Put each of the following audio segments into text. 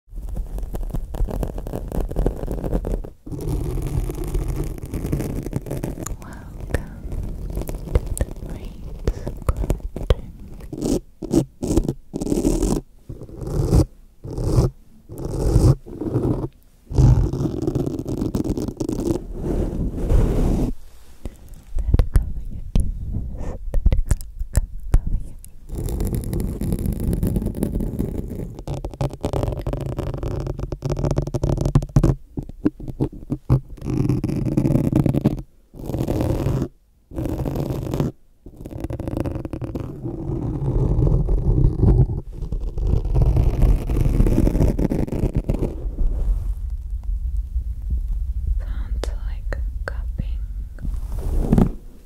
That cover your ears, that cover, cover, cover your Sounds like cupping.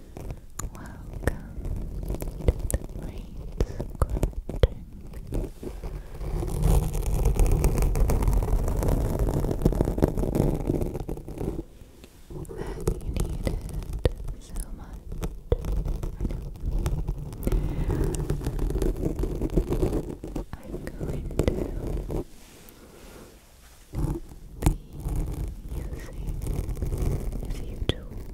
Welcome to the brain sculpting. That you needed so much. I know. I'm going to. Be using a few tools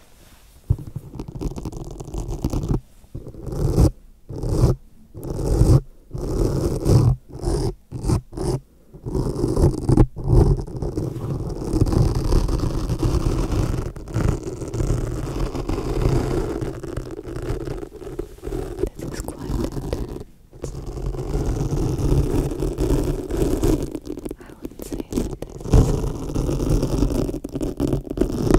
This is quite intense. I would say that this is beginner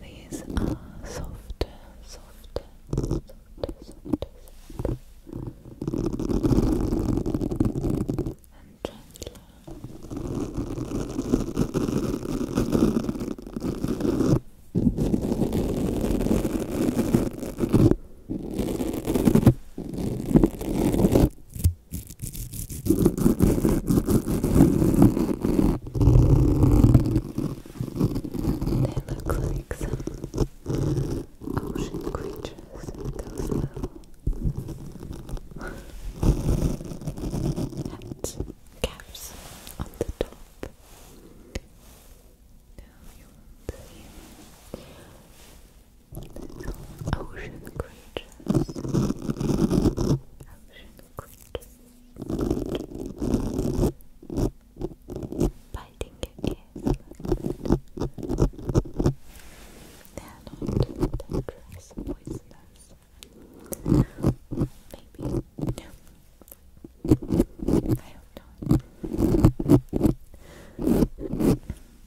These are soft, soft, soft, soft, soft. and gentler. They look like some ocean creatures, those little hat caps on the top. Now you see Ocean creatures. Ocean creatures. Biting your ears. They are not dangerous, poisonous. Maybe. I hope not.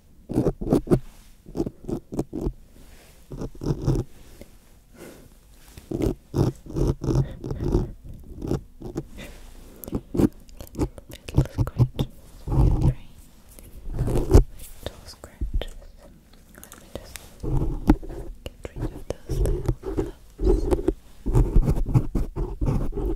Little scratches. Let me just get rid of those little gloves.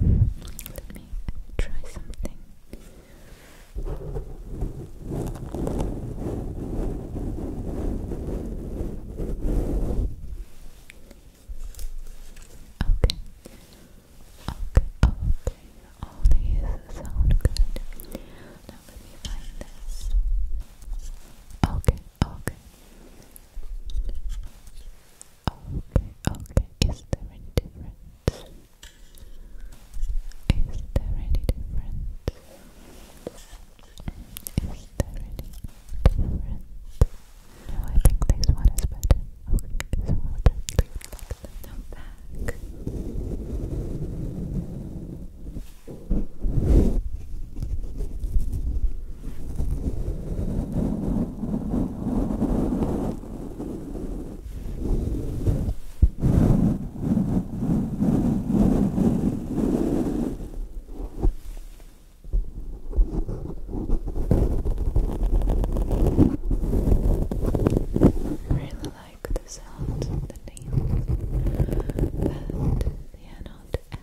Let me try something. Okay. Okay, okay. All these sound good. Now let me find this. Okay, okay. Okay, okay. Is there any difference? Is there any difference? Is there any difference? No, I think this one is better. Okay, so we'll just leave it like back. I really like the sound the nail, but they are not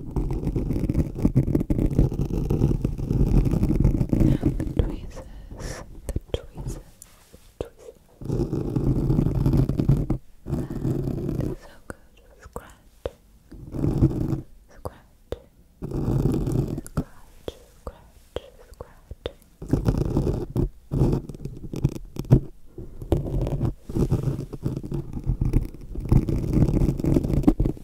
the tweezers, the tweezers, tweezers. And so good. Scratch, scratch, scratch, scratch, scratch. Scratch, this,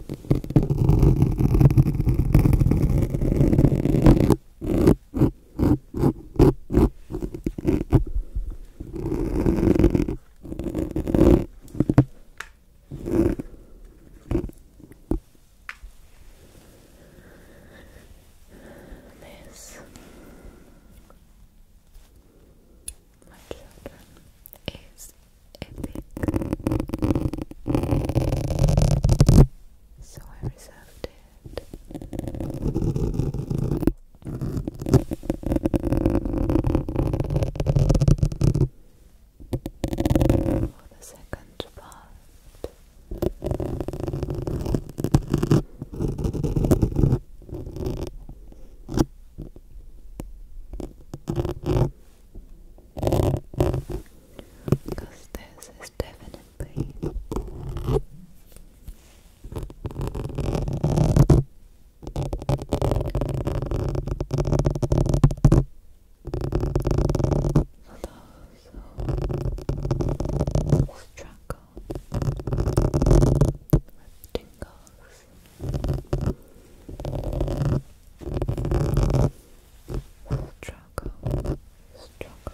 my children, is epic. So I reserved it. For the second part. Because this is definitely those who struggle tingles struggle, struggle.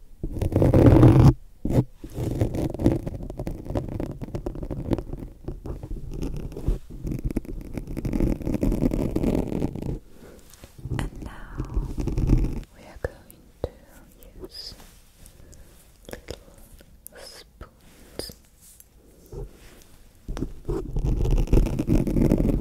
And now we are going to use little spoons made of metal.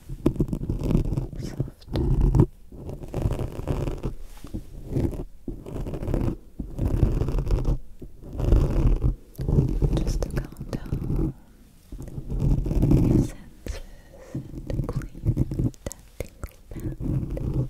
soft. Just to calm down your senses and clean out that tingle band. Just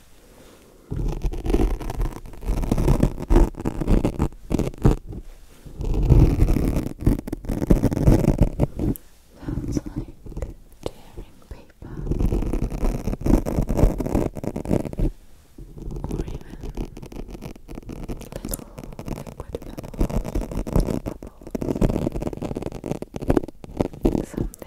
Sounds like tearing paper or even little liquid bubbles. Sometimes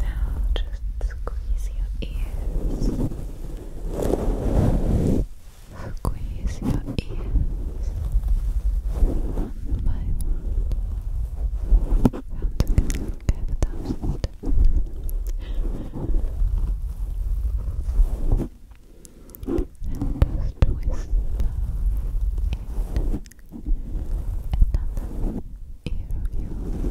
Now just squeeze your ears. Squeeze your ears one by one and just twist in another ear of yours. Like this.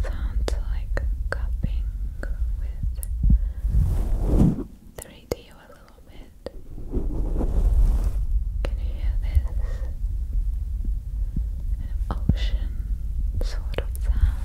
Sounds like cupping with the radio little bit. Can you hear this? ocean sort of sound.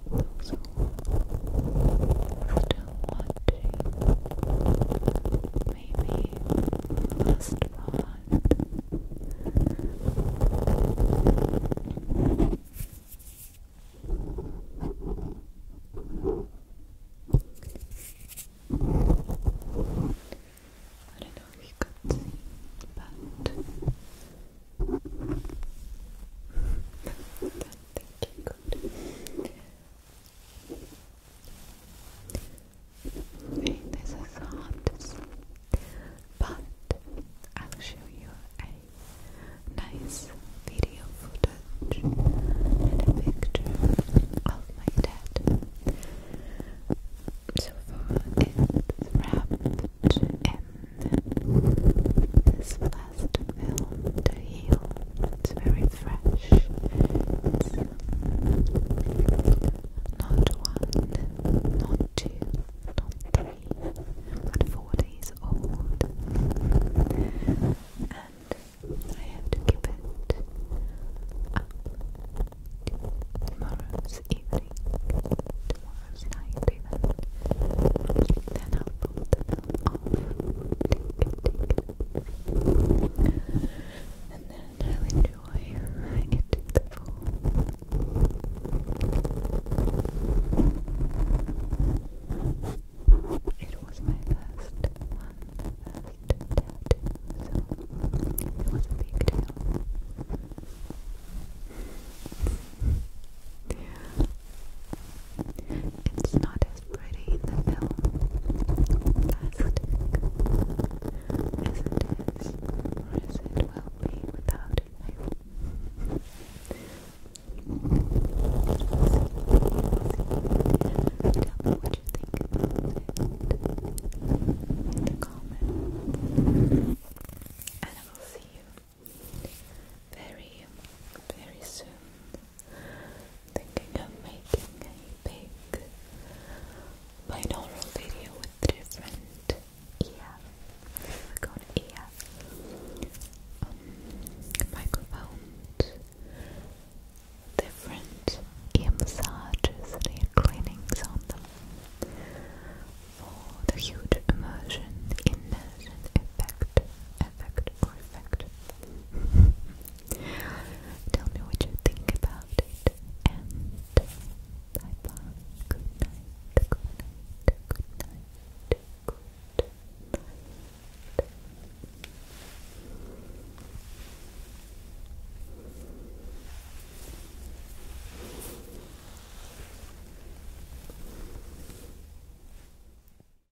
So, still watching maybe last part. I don't know if you could see, but I don't you good. Rain but I'll show you a nice video footage and a picture of my dad. So far, it's wrapped in this flower has to to heal. It's very fresh. not one, not two, not three, but four days old. And I have to keep it tomorrow's evening, tomorrow's night even. Then I'll put off. And then I'll enjoy it to the full. It was my first one, first tattoo, so it was a big deal. It's not as pretty in the film. As it is, as it will be without it. Tell me what you think in the comment. And I will see you very, very soon. Thinking of making a big binaural video with different ear, we got ear um, different ear massages and ear cleanings on them for the huge immersion, immersion effect perfect, perfect. Tell me what you think about it. And bye Good night. Good night. Good night. Good night.